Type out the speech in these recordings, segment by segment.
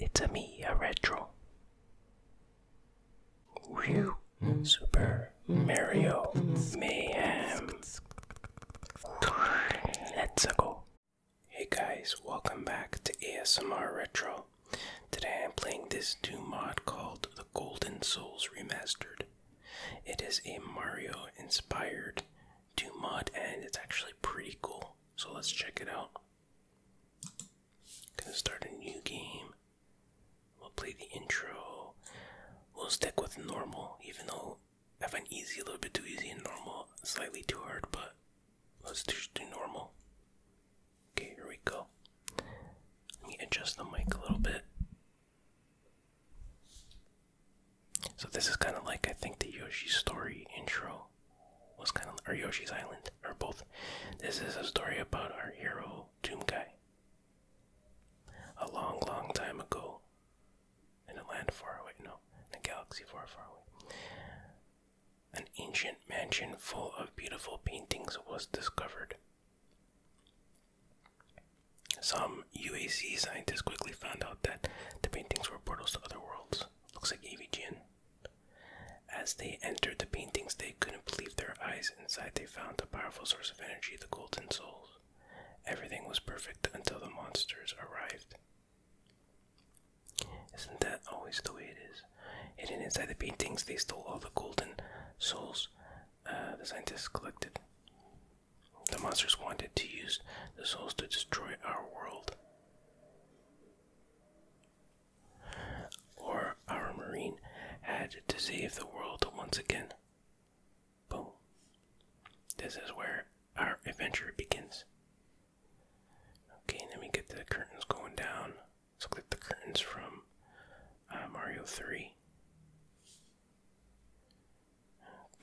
It's a me, a retro. Super Mario Mayhem. Let's go. Hey guys, welcome back to ASMR Retro. Today I'm playing this new mod called The Golden Souls Remastered. It is a Mario inspired mod and it's actually pretty cool. So let's check it out. Gonna start a new game. We'll play the intro. We'll stick with normal, even though I find easy a little bit too easy and normal slightly too hard, but let's just do normal. Okay, here we go. Let me adjust the mic a little bit. So this is kind of like I think the Yoshi story intro was kind of or Yoshi's Island or both. This is a story about our hero Doom Guy. A long, long time ago, in a land far away, no, in a galaxy far, far away, an ancient mansion full of beautiful paintings was discovered. Some UAC scientists quickly found out that the paintings were portals to other worlds. Looks like AVGN. As they entered the paintings, they couldn't believe their eyes. Inside, they found the powerful source of energy, the golden souls. Everything was perfect until the monsters arrived. Isn't that always the way it is? Hidden inside the paintings, they stole all the golden souls uh, the scientists collected. The monsters wanted to use the souls to destroy our world or our Marine had to save the world once again. Boom. This is where our adventure begins. Okay, let me get the curtains going down. Let's click the curtains from uh, Mario 3.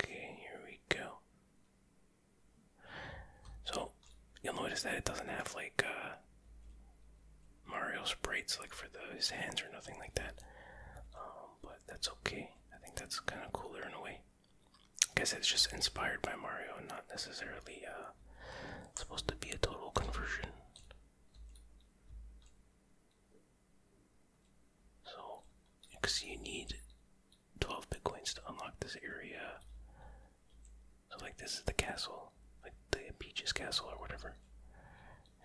Okay, here we go. So you'll notice that it doesn't have like uh, Mario sprites like for the, his hands or nothing like that. Um, but that's okay. I think that's kind of cooler in a way. I guess it's just inspired by Mario, not necessarily uh, supposed to be a total conversion. So, you see you need 12 bitcoins to unlock this area. So, like, this is the castle, like the Peach's Castle or whatever.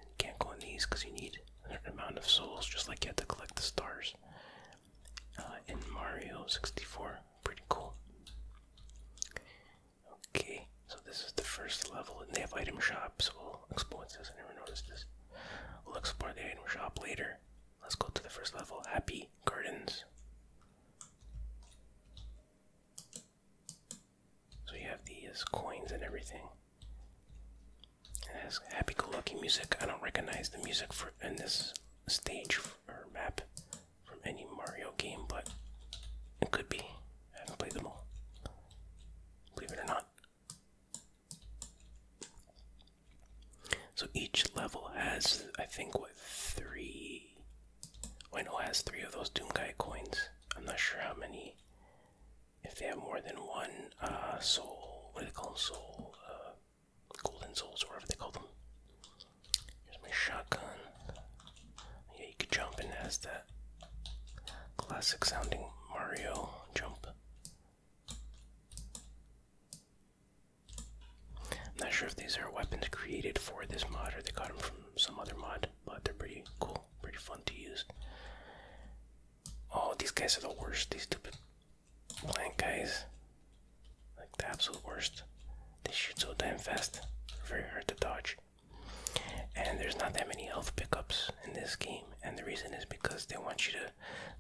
you can't go in these because you need a certain amount of souls, just like you had to collect the stars uh, in Mario 64. Pretty cool. Okay, so this is the first level, and they have item shops. we'll explore this. I never noticed this. We'll explore the item shop later. Let's go to the first level, Happy Gardens. So you have these coins and everything. It has happy go lucky music. I don't recognize the music for in this stage or map from any Mario game, but it could be. I haven't played them all. Believe it or not. So each level has, I think, what three? I know has three of those Doom Guy coins. I'm not sure how many. If they have more than one uh, soul, what do they call them? Soul, uh, golden souls, or whatever they call them. Here's my shotgun. Yeah, you could jump and has that classic sounding Mario jump. I'm not sure if these are weapons created for this mod or they got them from some other mod, but they're pretty cool, pretty fun to use. Oh, these guys are the worst, these stupid plant guys. Like the absolute worst. They shoot so damn fast, very hard to dodge. And there's not that many health pickups in this game, and the reason is because they want you to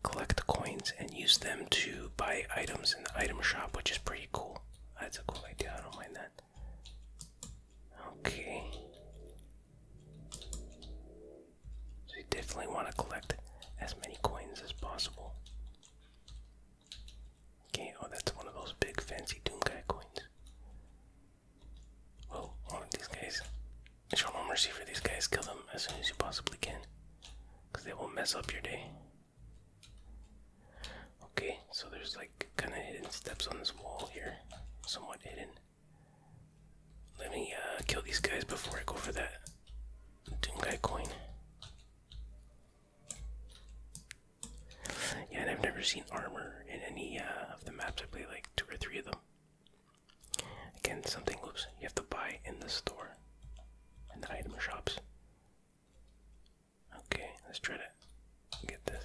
collect the coins and use them to buy items in the item shop, which is pretty cool. That's a cool idea. I don't mind that. Okay. So you definitely want to collect as many coins as possible. Okay, oh that's one of those big fancy Guy coins. Well, one of these guys. Show no mercy for these guys. Kill them as soon as you possibly can. Because they will mess up your day. Okay, so there's like kind of hidden steps on this wall here, somewhat hidden. Let me uh, kill these guys before I go for that doom guy coin. Yeah, and I've never seen armor in any uh, of the maps. I play like two or three of them. Again, something oops, you have to buy in the store, in the item shops. Okay, let's try to get this.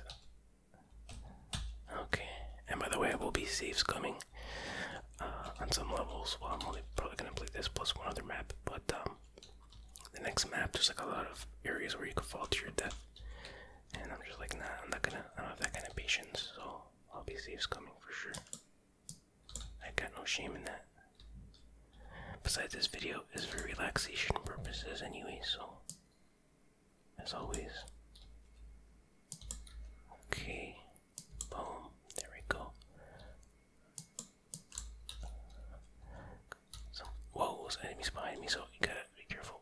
Okay, and by the way, I will be saves coming uh, on some levels. Well, I'm only probably gonna play this plus one other map, but um, the next map there's like a lot of areas where you could fall to your death, and I'm just like, nah, I'm not gonna. I don't have that kind of patience, so I'll be saves coming for sure. I got no shame in that. Besides, this video is for relaxation purposes anyway, so. As always. Okay. Boom. There we go. Some whoa, some enemies behind me, so you gotta be careful.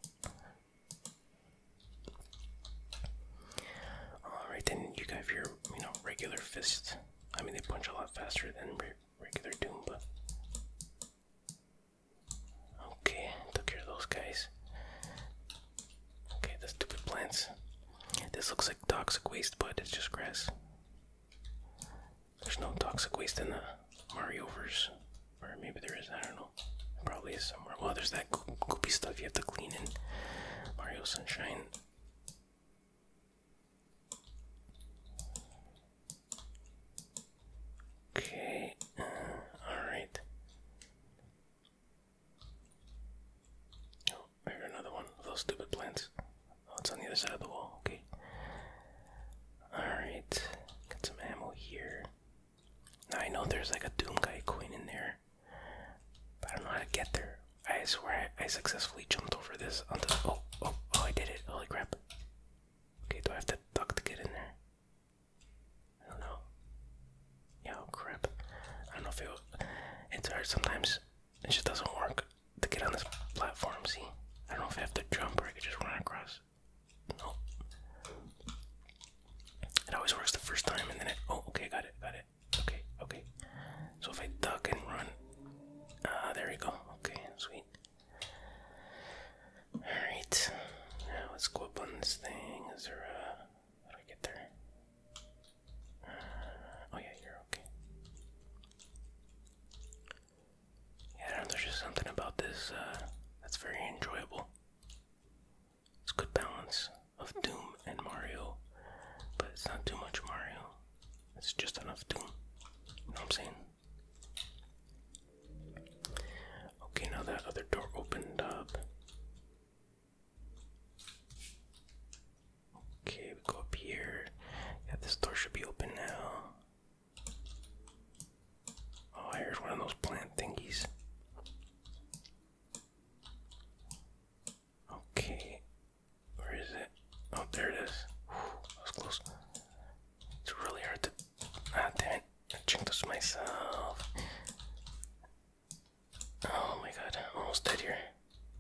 Alright, then you have your, you know, regular fists. I mean, they punch a lot faster than regular doom, but Okay, took care of those guys. Okay, those stupid plants. This looks like toxic waste, but it's just grass. There's no toxic waste in the Marioverse. Or maybe there is, I don't know. probably is somewhere. Well, there's that goopy stuff you have to clean in Mario Sunshine. Okay, uh, all right. Oh, I hear another one those stupid plants. Oh, it's on the other side of the wall. Okay. All right, got some ammo here. Now I know there's like a Doom Guy coin in there, but I don't know how to get there. I swear I successfully jumped over this onto oh, oh, oh, I did it, holy crap. Okay, do I have to duck to get in there? I don't know. Yeah, oh crap. I don't know if it, it's hard sometimes. It just doesn't work to get on this platform, see? I don't know if I have to jump or I could just run across. No. It always works the first time and then it, oh, okay, got it, got it. Okay, okay. So if I duck and run, ah, there we go. Okay, sweet. All right, now let's go up on this thing. Is there a? How do I get there? Ah, oh yeah, you're okay. Yeah, there's just something about this uh, that's very enjoyable. It's good balance of Doom and Mario, but it's not too much Mario. It's just enough to, you know what I'm saying? Okay, now that other door opened up. Okay, we go up here. Yeah, this door should be open now. Oh, here's one of those plant thingies. Okay, where is it? Oh, there it is. Whew, that was close. It's really hard to. Ah, damn it. I checked this myself. Oh my god, I'm almost dead here.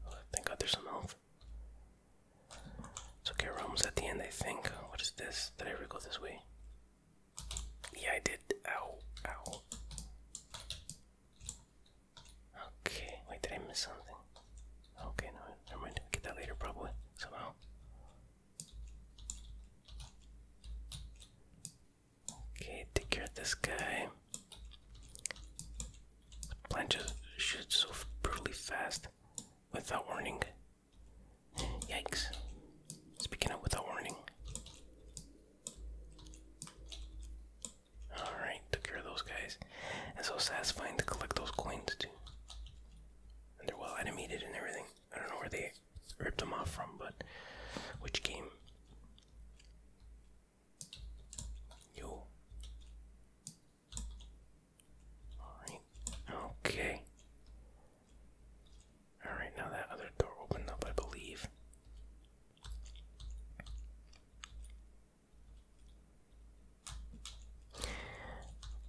Oh, thank god there's some health. okay, we almost at the end, I think. What is this? Did I ever go this way? Yeah, I did. Ow, ow. Okay, wait, did I miss something? Okay, no, never mind. Get that later, probably somehow. Okay, take care of this guy. Plant just shoots so brutally fast without warning. Yikes! Speaking of without warning. All right took care of those guys. And so satisfying to collect those coins too. And they're well animated and everything. I don't know where they ripped them off from, but which game? Yo. Alright. Okay. Alright, now that other door opened up, I believe.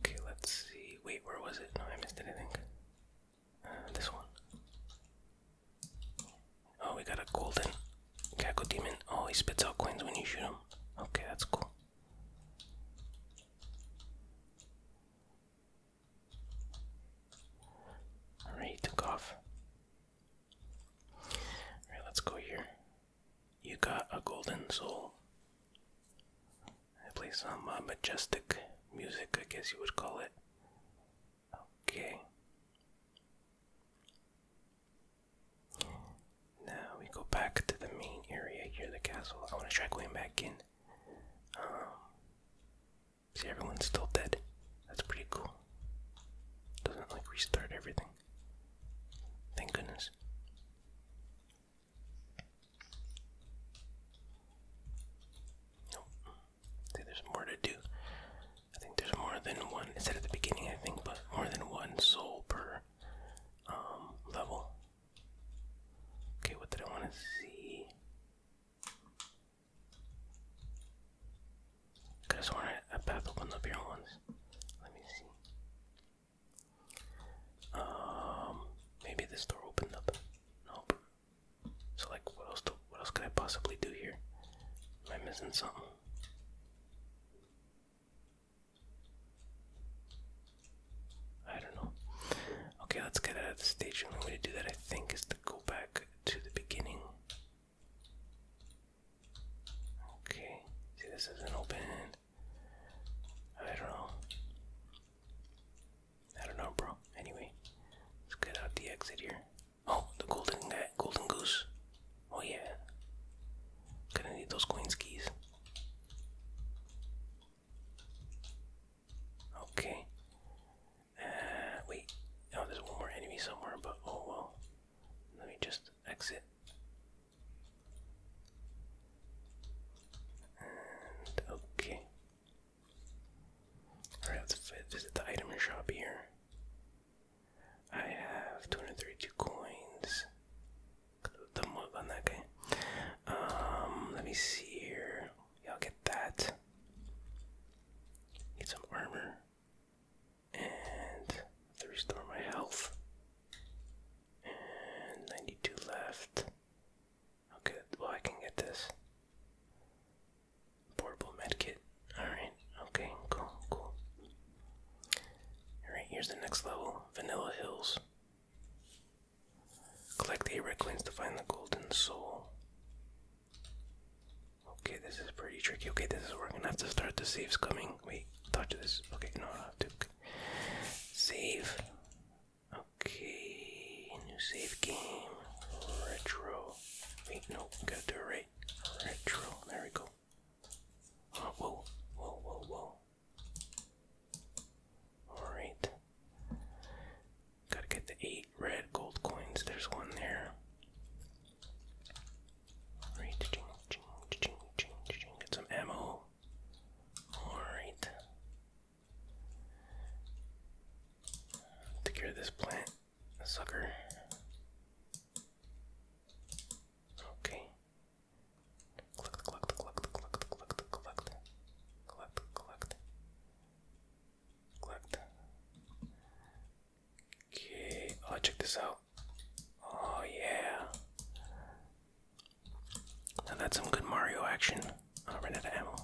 Okay, let's see. Wait, where was it? No, I missed anything. Uh, this one. Oh, we got a golden Gecko Demon. Oh, he spits out coins when you shoot him. Okay, that's cool. Alright, he took off. Alright, let's go here you got a golden soul. I play some uh, majestic music, I guess you would call it. Okay. Now we go back to the main area here, the castle. I want to try going back in. Um, see, everyone's still dead. That's pretty cool. Doesn't like restart everything. Thank goodness. Nope. there's more to do. I think there's more than one. It said at the beginning, I think, but more than one soul per um, level. Okay, what did I want to see? Could have sworn I, I popped up up here once. Let me see. Um, maybe this door opened up. Nope. So like, what else? Do, what else could I possibly do here? Am I missing something? I don't know. Okay, let's get out of the stage. The only way to do that, I think, is to go back to the beginning. Okay. See, this isn't open. I don't know. I don't know, bro. Anyway, let's get out the exit here. Oh, the golden golden goose. Oh yeah. Gonna need those coins keys. Okay. Uh, wait. Oh, there's one more enemy somewhere, but oh well. Let me just exit okay. let's visit the item shop here. I have 232 coins. Dumb up on that Um, let me see here. Yeah, I'll get that. Need some armor. And to restore my health. And 92 left. Okay, well, I can get this. Portable medkit. Alright, okay, cool, cool. Alright, here's the next level Vanilla Hills. Collect the Requins to find the Golden Soul. Okay, this is pretty tricky. Okay, this is working. I have to start the saves coming. Wait, touch this. Okay, no, I have to. Save. Okay, new save game. Retro. Wait, no, gotta do Retro. There we go. Oh, whoa, whoa, whoa, whoa. Alright. Gotta get the eight red gold coins. There's one there. Alright, ching, ching, ching, ching, ching. Get some ammo. Alright. Take care of this plant, sucker. Okay. Collect, collect, collect, collect, collect, collect, collect, collect, collect. Okay. Oh, check this out. Oh yeah that's some good Mario action. I ran out of ammo.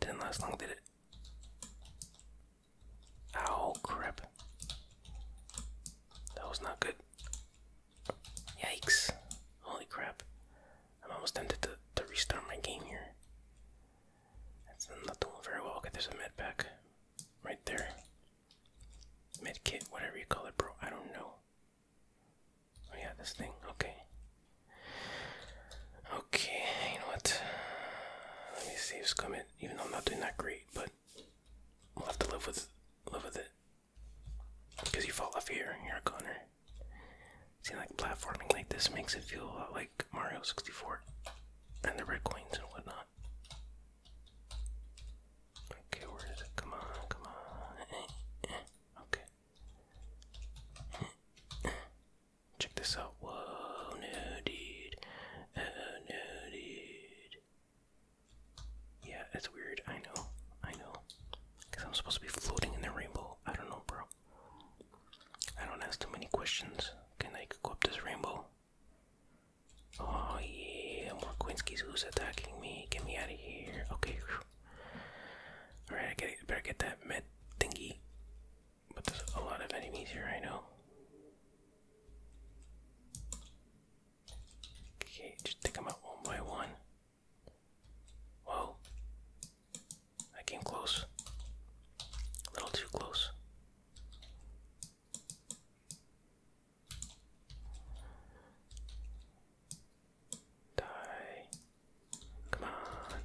Didn't last long, did it? Oh crap. That was not good. Yikes. Holy crap. I'm almost tempted to, to restart my game here. That's not doing very well. Okay, there's a med pack right there. Med kit, whatever you call it, bro. I don't know. Oh yeah, this thing. Okay. Okay, you know what? Let me see if it's coming. Even though I'm not doing that great, but we'll have to live with live with it. Cause you fall off here, you're a goner. See, like platforming like this makes it feel a lot like Mario 64 and the red coins and whatnot. Okay, where is it? Come on, come on. Okay. Check this out. Whoa, no, dude. Oh, no, dude. Yeah, it's weird. I know. I know. Because I'm supposed to be floating in the rainbow. I don't know, bro. I don't ask too many questions. Can I go up this rainbow? Oh yeah, more Quinskies. Who's attacking me? Get me out of here. Okay. All right, I get, better get that med thingy. But there's a lot of enemies here. I know. Okay, just take them out one by one. Whoa! I came close. A little too close. Die. Come on.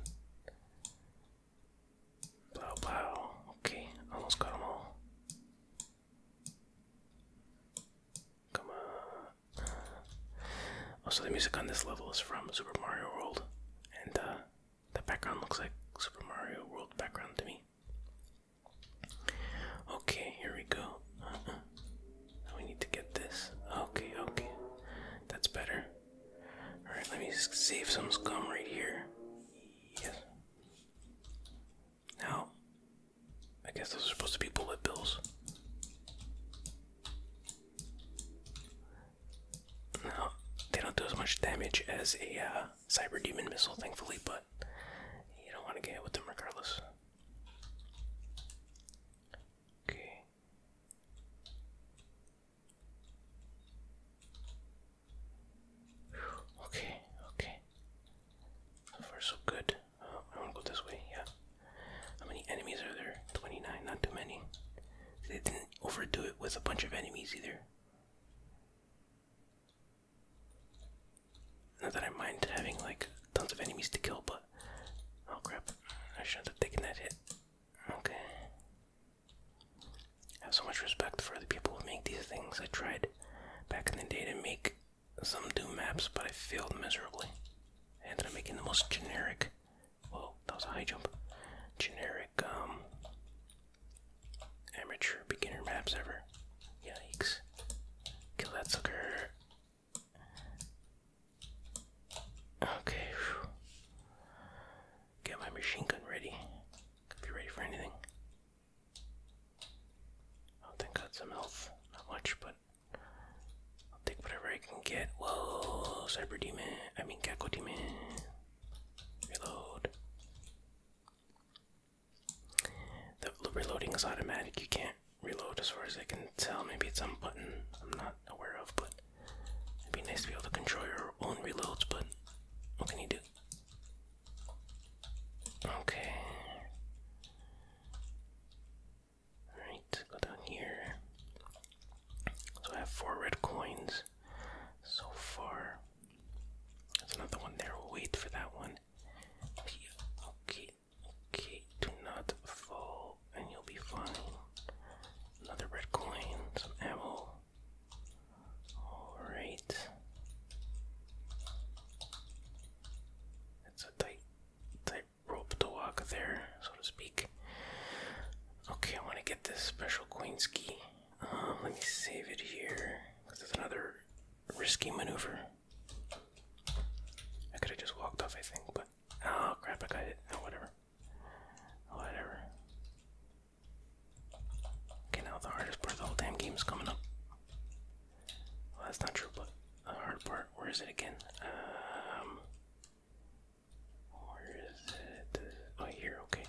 Blow, blow. Okay, almost got them Come on. Also, oh, the music on this level is from Super Mario World, and uh, the background looks like Super Mario World background to me. Okay, here we go. Uh-uh. we need to get this. Okay, okay. That's better. Alright, let me save some scum right here. Yes. Now, I guess those are supposed to be bullet bills. No, they don't do as much damage as a uh, cyber demon missile, thankfully, but you don't want to get hit with them regardless. Okay. Okay, okay. So far so good. Uh, um, I wanna go this way, yeah. How many enemies are there? 29, not too many. They didn't overdo it with a bunch of enemies either. Not that I mind having like tons of enemies to kill, but oh crap, I shouldn't have taken that hit. Okay. I have so much respect for the people who make these things. I tried back in the day to make some Doom maps, but I failed miserably. I ended up making the most generic. Whoa, that was a high jump. Generic, um, amateur beginner maps ever. Yikes. Kill that sucker. Okay. Get my machine gun ready. be ready for anything. I think I got some health. Not much, but I'll take whatever I can get. Whoa, Cyber Demon. I mean, Gecko Demon. Reload. The reloading is automatic. You can't reload as far as I can tell. Maybe it's some button I'm not aware of, but it'd be nice to be able to control your own reloads, but what can you do? Okay. Alright, go down here. So I have four red coins so far. That's another one there. We'll wait for that one. Okay, Okay, do not fall, and you'll be fine. Another red coin, some ammo. Alright. It's a tight, tight rope to walk there, so to speak. Okay, I want to get this special coin key. Um, let me save it here, because it's another risky maneuver. I could have just walked off, I think, but oh crap, I got it. Oh, whatever. Whatever. Okay, now the hardest part the whole damn game is coming up. Well, that's not true, but the hard part, where is it again? Um, where is it? Oh, here, okay.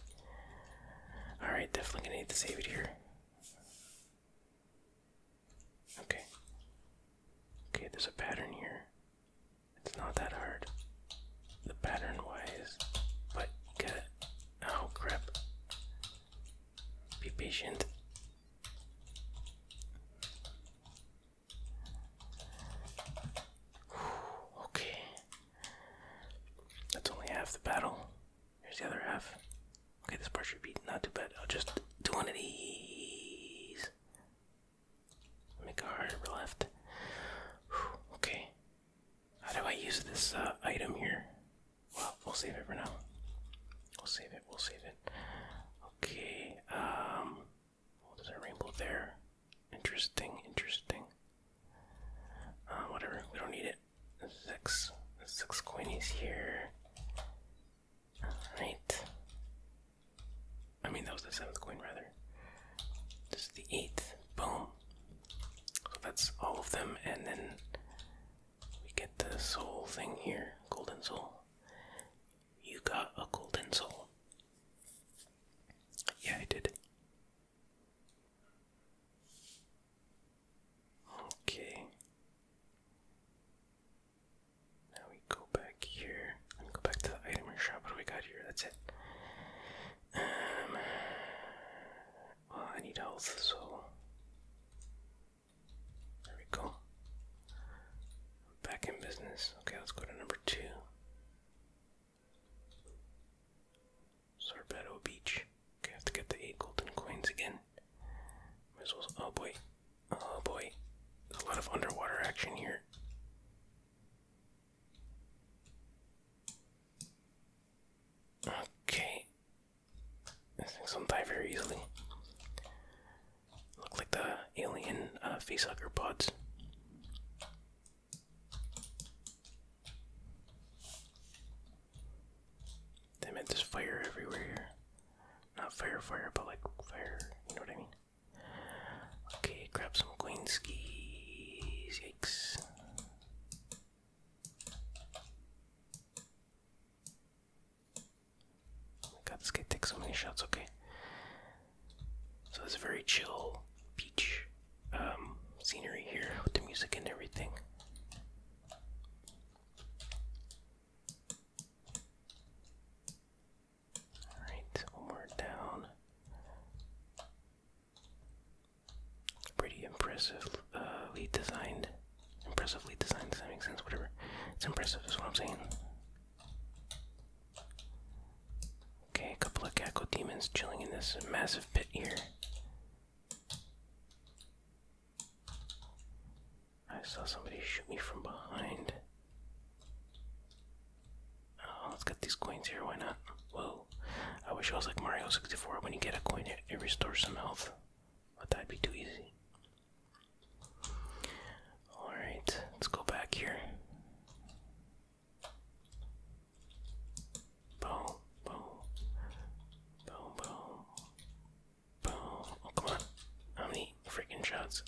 Alright, definitely gonna need to save it here. Okay. Okay, there's a pattern here. It's not that hard. The pattern wise, but gotta. Oh crap. Be patient. okay. That's only half the battle. Here's the other half. Okay, this pressure beat not too bad. I'll just do one of these. Make a harder left. okay. How do I use this uh, item here? Well, we'll save it for now. We'll save it. We'll save it. Okay. Um. Well, there's a rainbow there. Interesting. Interesting. Uh, whatever. We don't need it. Six. Six coinies here. Alright. I mean, that was the seventh coin, rather. This is the eighth. Boom. So that's all of them, and then we get this whole thing here golden soul. You got a golden soul. Yeah, I did. Okay. Now we go back here. Let me go back to the item shop. What do we got here? That's it. Um. Well, I need health, so there we go. Back in business. Okay, let's go to number two. Sorbeto Beach. Okay, have to get the eight golden coins again. Oh boy. Oh boy. There's a lot of underwater action here. Okay. These things will die very easily. Look like the alien uh, facehugger pods. Damn it, there's fire everywhere here. Not fire fire, but like fire, you know what I mean? Okay, grab some queen skis, yikes. Oh my god, this so many shots, okay. So it's a very chill beach um, scenery here with the music and everything. Alright, one more down. Pretty impressive, uh, lead designed. Impressively designed, does that make sense? Whatever. It's impressive, is what I'm saying. Okay, a couple of Gecko demons chilling in this massive pit here. I saw somebody shoot me from behind. Oh, let's get these coins here, why not? Whoa. I wish I was like Mario 64 when you get a coin, it, restores some health. But that'd be too easy. Alright, let's go back here. Boom, boom, boom, boom, Oh, come on. How many freaking shots?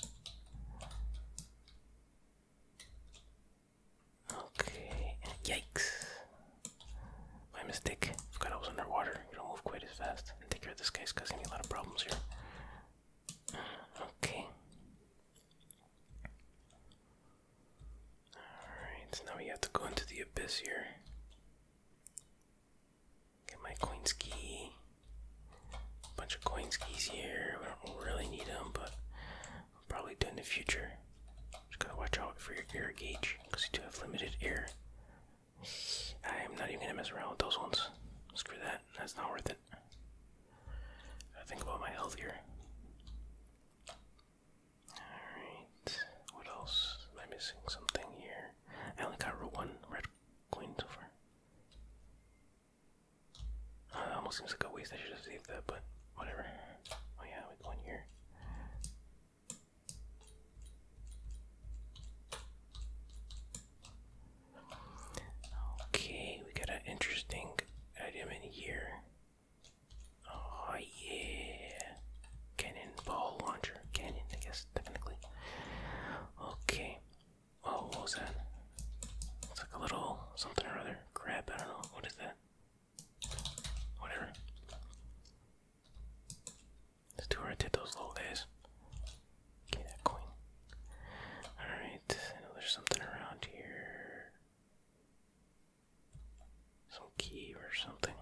Okay. Yikes. My mistake. Forgot I was underwater. You don't move quite as fast. And take care of this guy's causing me a lot of problems here. Okay. Alright, now we have to go into the abyss here. Get my coin ski. Bunch of coin skis here. We don't really need them, but I'll probably do in the future. Just gotta watch out for your air gauge because you do have limited air. I'm not even gonna mess around with those ones. Screw that. That's not worth it. I think about my health here. Alright. What else? Am I missing something here? I only got one red coin so far. Uh, it almost seems like a waste. I should have saved that, but whatever. Oh yeah, we go in here. Okay, we got an interesting item in here. Oh yeah, cannonball launcher, cannon, I guess technically. Okay, Oh, what was that? It's like a little something or other. Crab, I don't know. What is that? Whatever. Let's do where I did those little days. Okay, that coin. Alright, I know there's something around here. Some key or something.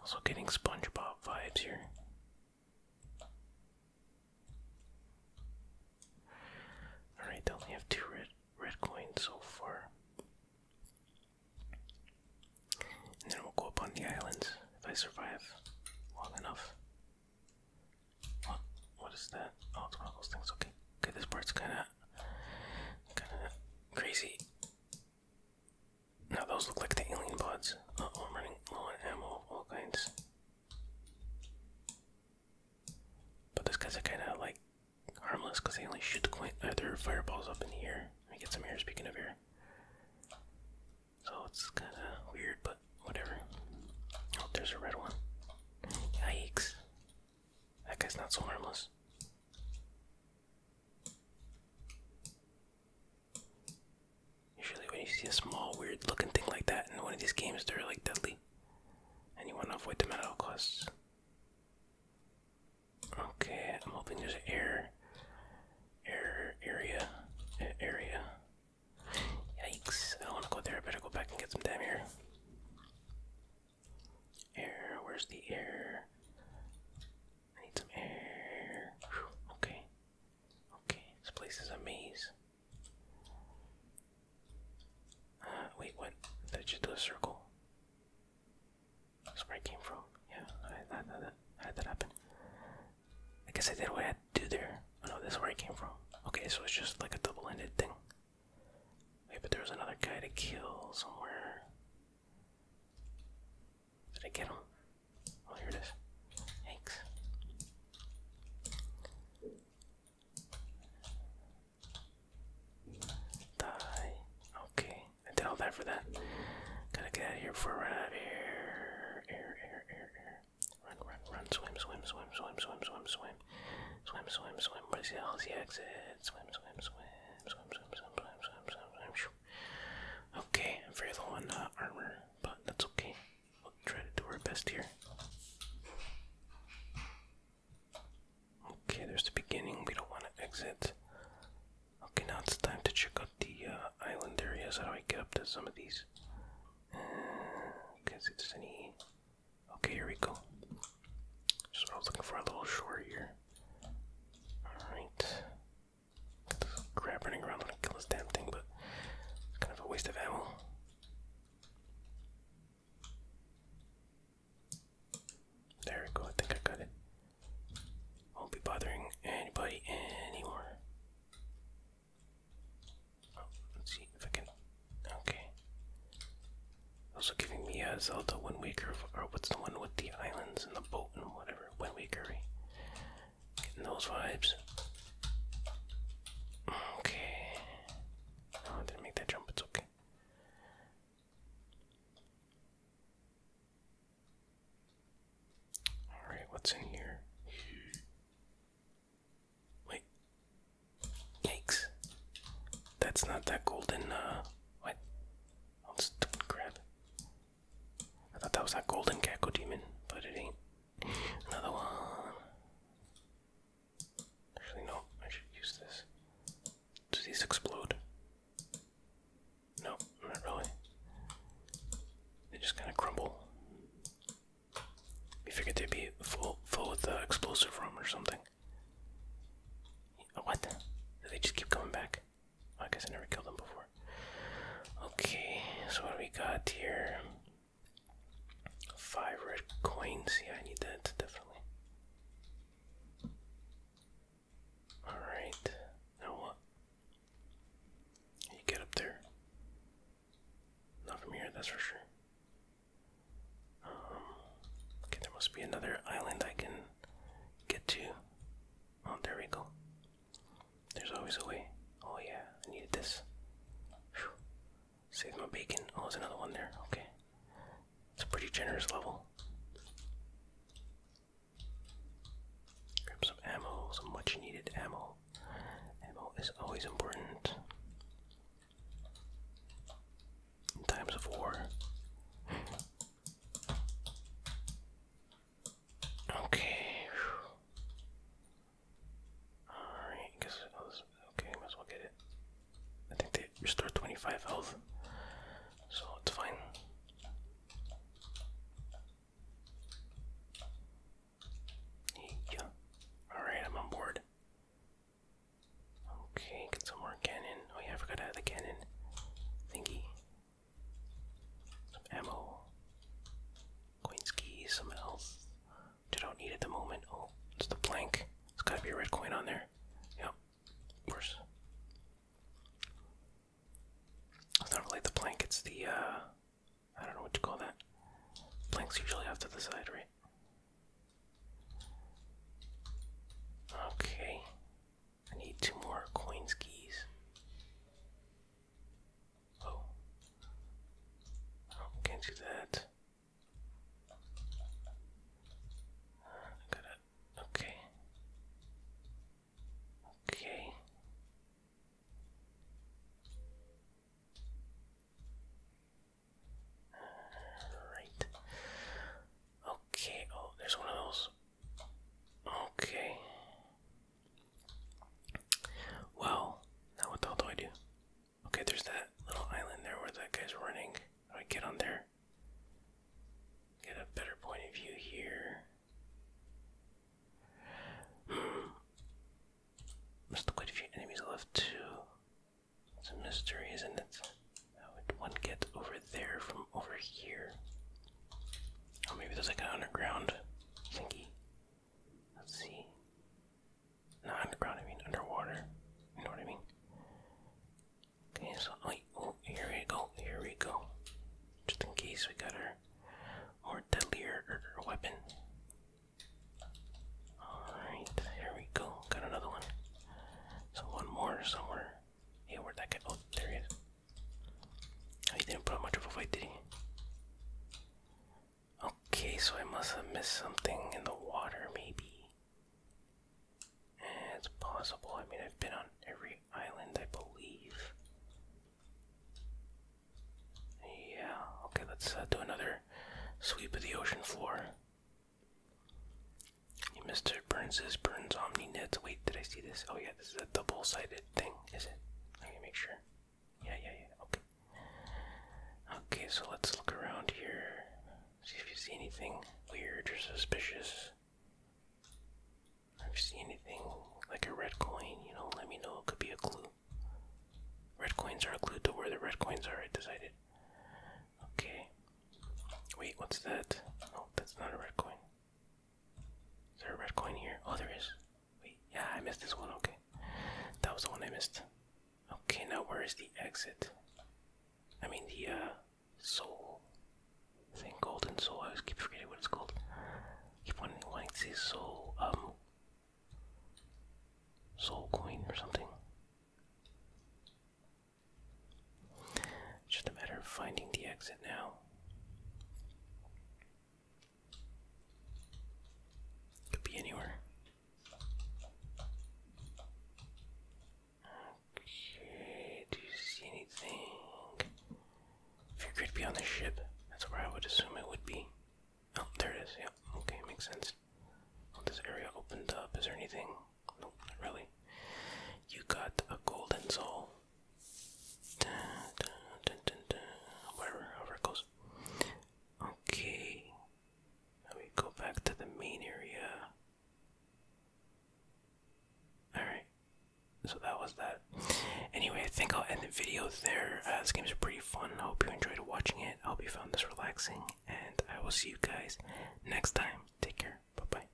Also getting SpongeBob vibes here. Alright, they only have two red red coins so far. And then we'll go up on the island if I survive long enough. What what is that? Oh it's one of those things, okay. Okay, this part's kinda kinda crazy. Now those look like the alien pods. oh, I'm running low on ammo, all kinds. But these guys are kind of like harmless because they only shoot quite other uh, fireballs up in the air. I get some air. Speaking of air, so it's kind of weird, but whatever. Oh, there's a red one. Yikes! That guy's not so harmless. Usually when you see a small weird looking thing like that in one of these games, they're like deadly. And you want to avoid them at all costs. Okay, I'm hoping there's air, air area, area. Yikes! I don't want to go there. I better go back and get some damn air. Air, where's the air? I need some air. okay. Okay, this place is a maze. Uh, wait, what? Did I just do a circle? That's where I came from. Yeah, I had that, happen. I guess I did what I had to do there. Oh no, this is where I came from. Okay, so it's just like a double ended thing. Wait, but there was another guy to kill somewhere. Did I get on? Oh, here it is. Thanks. Die. Okay, I did all that for that. Gotta get out of here before I run out of air. Air, air, air, air. Run, run, run. Swim, swim, swim, swim, swim, swim, swim. Swim, swim, swim. What is the, hell's the exit? Swim, swim, swim, Okay, I'm very on armor, but that's okay. We'll try to do our best here. Okay, there's the beginning. We don't want to exit. Okay, now it's time to check out the uh, island areas. How do I get up to some of these? Uh, okay, see Okay, here we go. So I was looking for a little shore here. Alright. This crab running around wanna kill this damn thing, but it's kind of a waste of ammo. There we go, I think I got it. Won't be bothering anybody anymore. Oh, let's see if I can. Okay. Also giving me a Zelda Wind Waker, or what's the one with the islands and the boat and whatever, Wind Waker. Getting those vibes. Okay. I didn't make that jump, it's okay. Alright, what's in here? Wait. Yikes. That's not that golden, uh, what? Let's grab it. I thought that was that golden gecko demon, but it ain't. Another one. Actually, no, I should use this. Do these explode? No, not really. They just kind of crumble. We figured they'd be full, full with the explosive room or something. What? Do they just keep coming back? I guess I never killed them before. Okay, so what do we got here? Five red coins. Yeah, I need that definitely. Alright, now what? You get up there. Not from here, that's for sure. Um, okay, there must be another island I can get to. Oh, there we go. There's always a way. Oh, yeah, I needed this. Save my bacon. Oh, there's another one there. Okay. It's a pretty generous level. Grab some ammo, some much needed ammo. Ammo is always important. In times of war, Okay. Alright, guess oh, it was okay, might as well get it. I think they restore 25 health. So it's fine. Yeah. Alright, I'm on board. Okay, get some more cannon. Oh yeah, I forgot to add the cannon thingy. Some ammo. Coins key, some else. Which I don't need at the moment. Oh, it's the blank. It's gotta be a red coin on there. Yep. Of course. It's not really the blank. it's the uh I don't know what to call that. Blanks usually off to the side, right? Okay. I need two more coins keys. Oh. oh. can't do that. okay. Okay. All right. Okay. Oh, there's one of those Okay. Well, now what the hell do I do? Okay, there's that little island there where that guy's running. I get on there. Get a better point of view here. Hmm. quite a few enemies left too. It's a mystery, isn't it? How would one get over there from over here? Oh, maybe there's like an underground thingy. Let's see. Not underground, I mean underwater. You know what I mean? Okay, so oh, oh here we go, here we go. Just in case we got our more deadlier weapon. Alright, here we go. Got another one. So one more somewhere. Hey, where'd that go? Oh, there it is he didn't put much of a fight, did he? Okay, so I must have missed something in the water, maybe. Eh, it's possible. I mean, I've been on every island, I believe. Yeah, okay, let's uh, do another sweep of the ocean floor. Mr. Burns's Burns OmniNet. Wait, did I see this? Oh yeah, this is a double-sided thing, is it? Let me make sure. Yeah, yeah, yeah. Okay. Okay, so let's look around here. See if you see anything weird or suspicious. If you see anything like a red coin, you know, let me know. It could be a clue. Red coins are a clue to where the red coins are, I decided. Okay. Wait, what's that? Oh, that's not a red coin. Is there a red coin here? Oh, there is. Wait, yeah, I missed this one. Okay. That was the one I missed. Okay, now where is the exit? I mean, the uh, soul thing, golden soul. I always keep forgetting what it's called. Keep wanting, wanting to say soul, um, soul coin or something. It's just a matter of finding the exit now. Could be anywhere. Okay, do you see anything? Figure it'd be on the ship. That's where I would assume it would be. Oh, there it is. Yep. okay, makes sense. Well, oh, this area opened up. Is there anything? Nope, not really. You got a golden soul da, it goes. Okay, let me go back to the main area. Alright, so that was that. Anyway, I think I'll end the video there. Uh, this game pretty fun. I hope you enjoyed watching it. I hope you found this relaxing, and I will see you guys next time. Take care. Bye bye.